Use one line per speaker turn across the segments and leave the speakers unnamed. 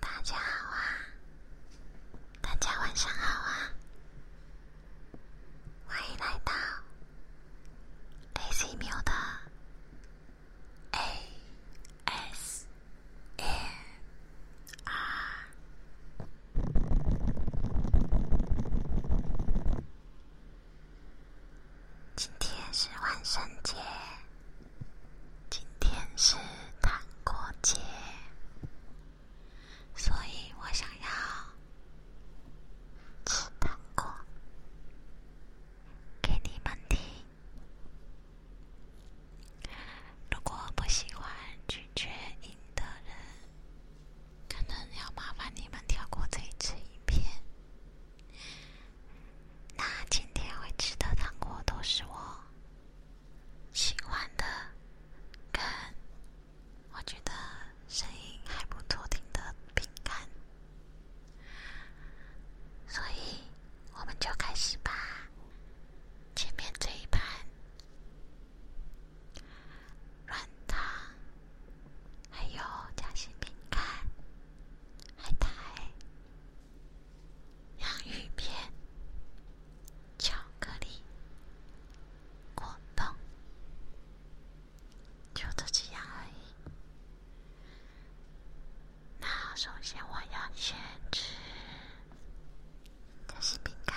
大家好啊！大家晚上好啊！欢迎来到。今天是万圣节，今天是糖果节。所以我想要吃糖果给你们听。如果不喜欢拒绝音的人，可能要麻烦你们跳过这一次影片。那今天会吃的糖果都是我喜欢的，跟。我觉得声音还不错，听的饼干，所以我们就开始吧。前面这一盘软糖，还有夹心饼干、海苔、洋芋片、巧克力。果冻，就这几样而已。那首先我要先吃，这是饼干。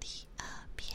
第二遍。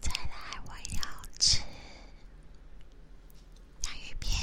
再来，我要吃洋芋片。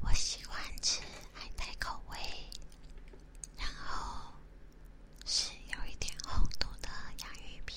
我喜欢吃海带口味，然后是有一点红度的洋芋片。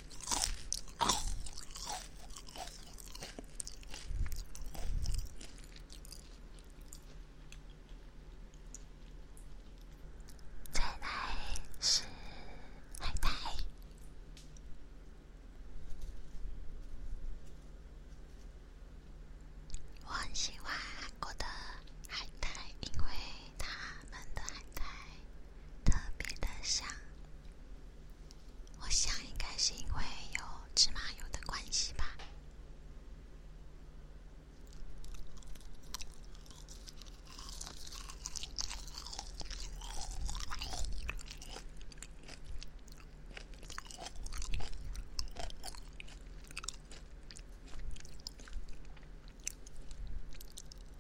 再来是海苔。我很喜欢韩国的海苔，因为他们的海苔。特别的香，我想应该是因为有芝麻油的关系吧。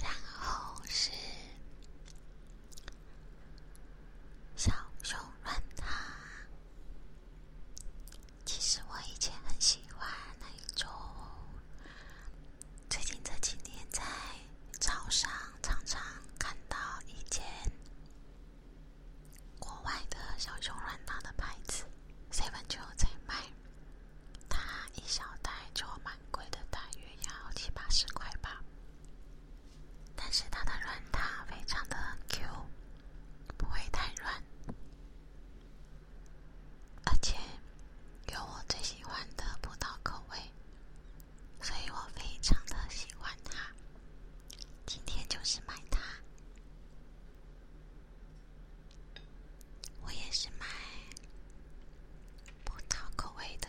然后是小熊软糖。其实我以前很喜欢那种，最近这几年在早上常常看到一件国外的小熊软糖的牌子，Seven 就在卖，它一小袋就蛮贵的，大约要七八十块吧。但是它的软糖非常的 Q。不会太软，而且有我最喜欢的葡萄口味，所以我非常的喜欢它。今天就是买它，我也是买葡萄口味的。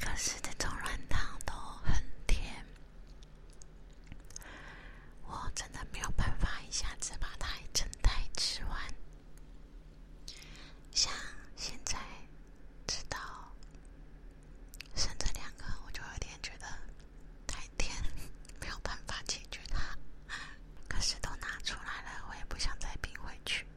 可是这种软糖都很甜，我真的没有办法一下子把它一整袋吃完。像现在直到生这两个，我就有点觉得太甜，没有办法解决它。可是都拿出来了，我也不想再拼回去。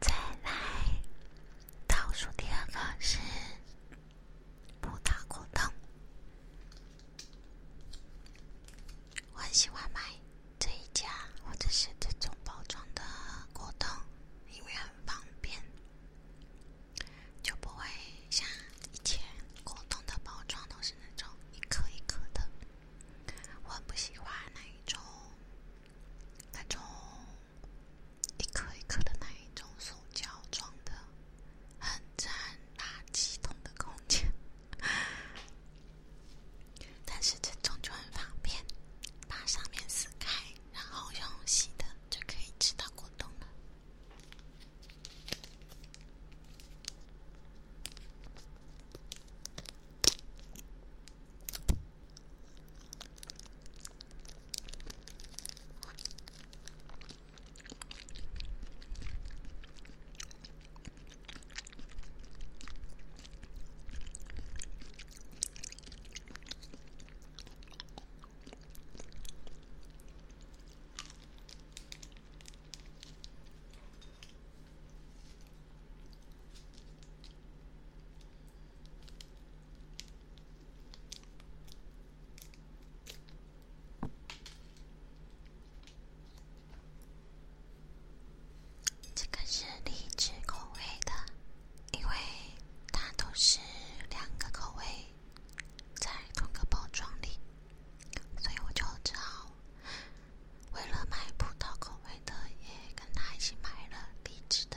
再来倒数第二个是布达果冻，我很喜欢买这一家或者是这种包装的果冻，因为很方便。就不会像以前果冻的包装都是那种一颗一颗的，我不喜欢那一种，那种一颗一颗的那一种塑胶装的，很占垃圾桶的空间。但是这种就很方便，把上面撕开，然后用洗的。就可以吃到果冻了。这个是荔枝口味的。因为它都是两个口味在同个包装里，所以我就只好为了买葡萄口味的，也跟他一起买了荔枝的。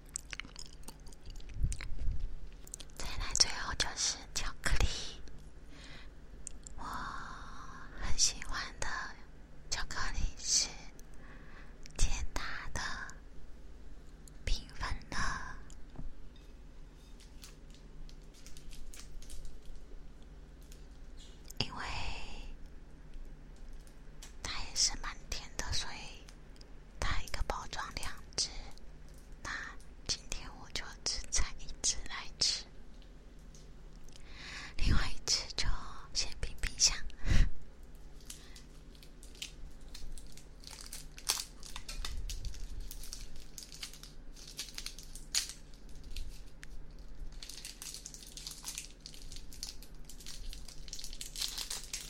再来，最后就是巧克力，我很喜欢的巧克力是尖塔的平分的，因为它也是蛮甜的，所以。它一个包装两只，那今天我就只拆一只来吃，另外一只就先冰冰箱。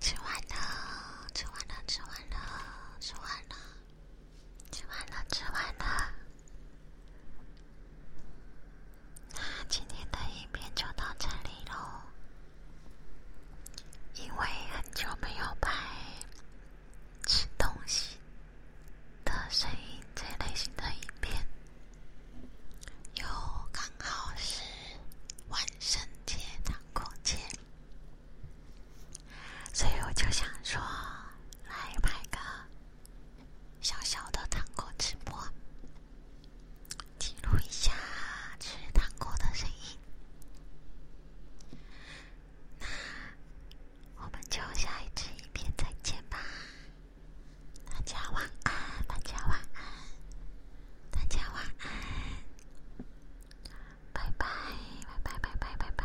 吃完了，吃完了，吃完了，吃完了，吃完了，吃完了。那今天的影片就到这里喽，因为很久没有拍吃东西的声音这类型的影片，又刚好是万圣节、的空间，所以我就想说来拍个。小小的糖果直播，记录一下吃糖果的声音。那我们就下一次影片再见吧，大家晚安，大家晚安，大家晚安，拜拜，拜拜，拜拜，拜拜。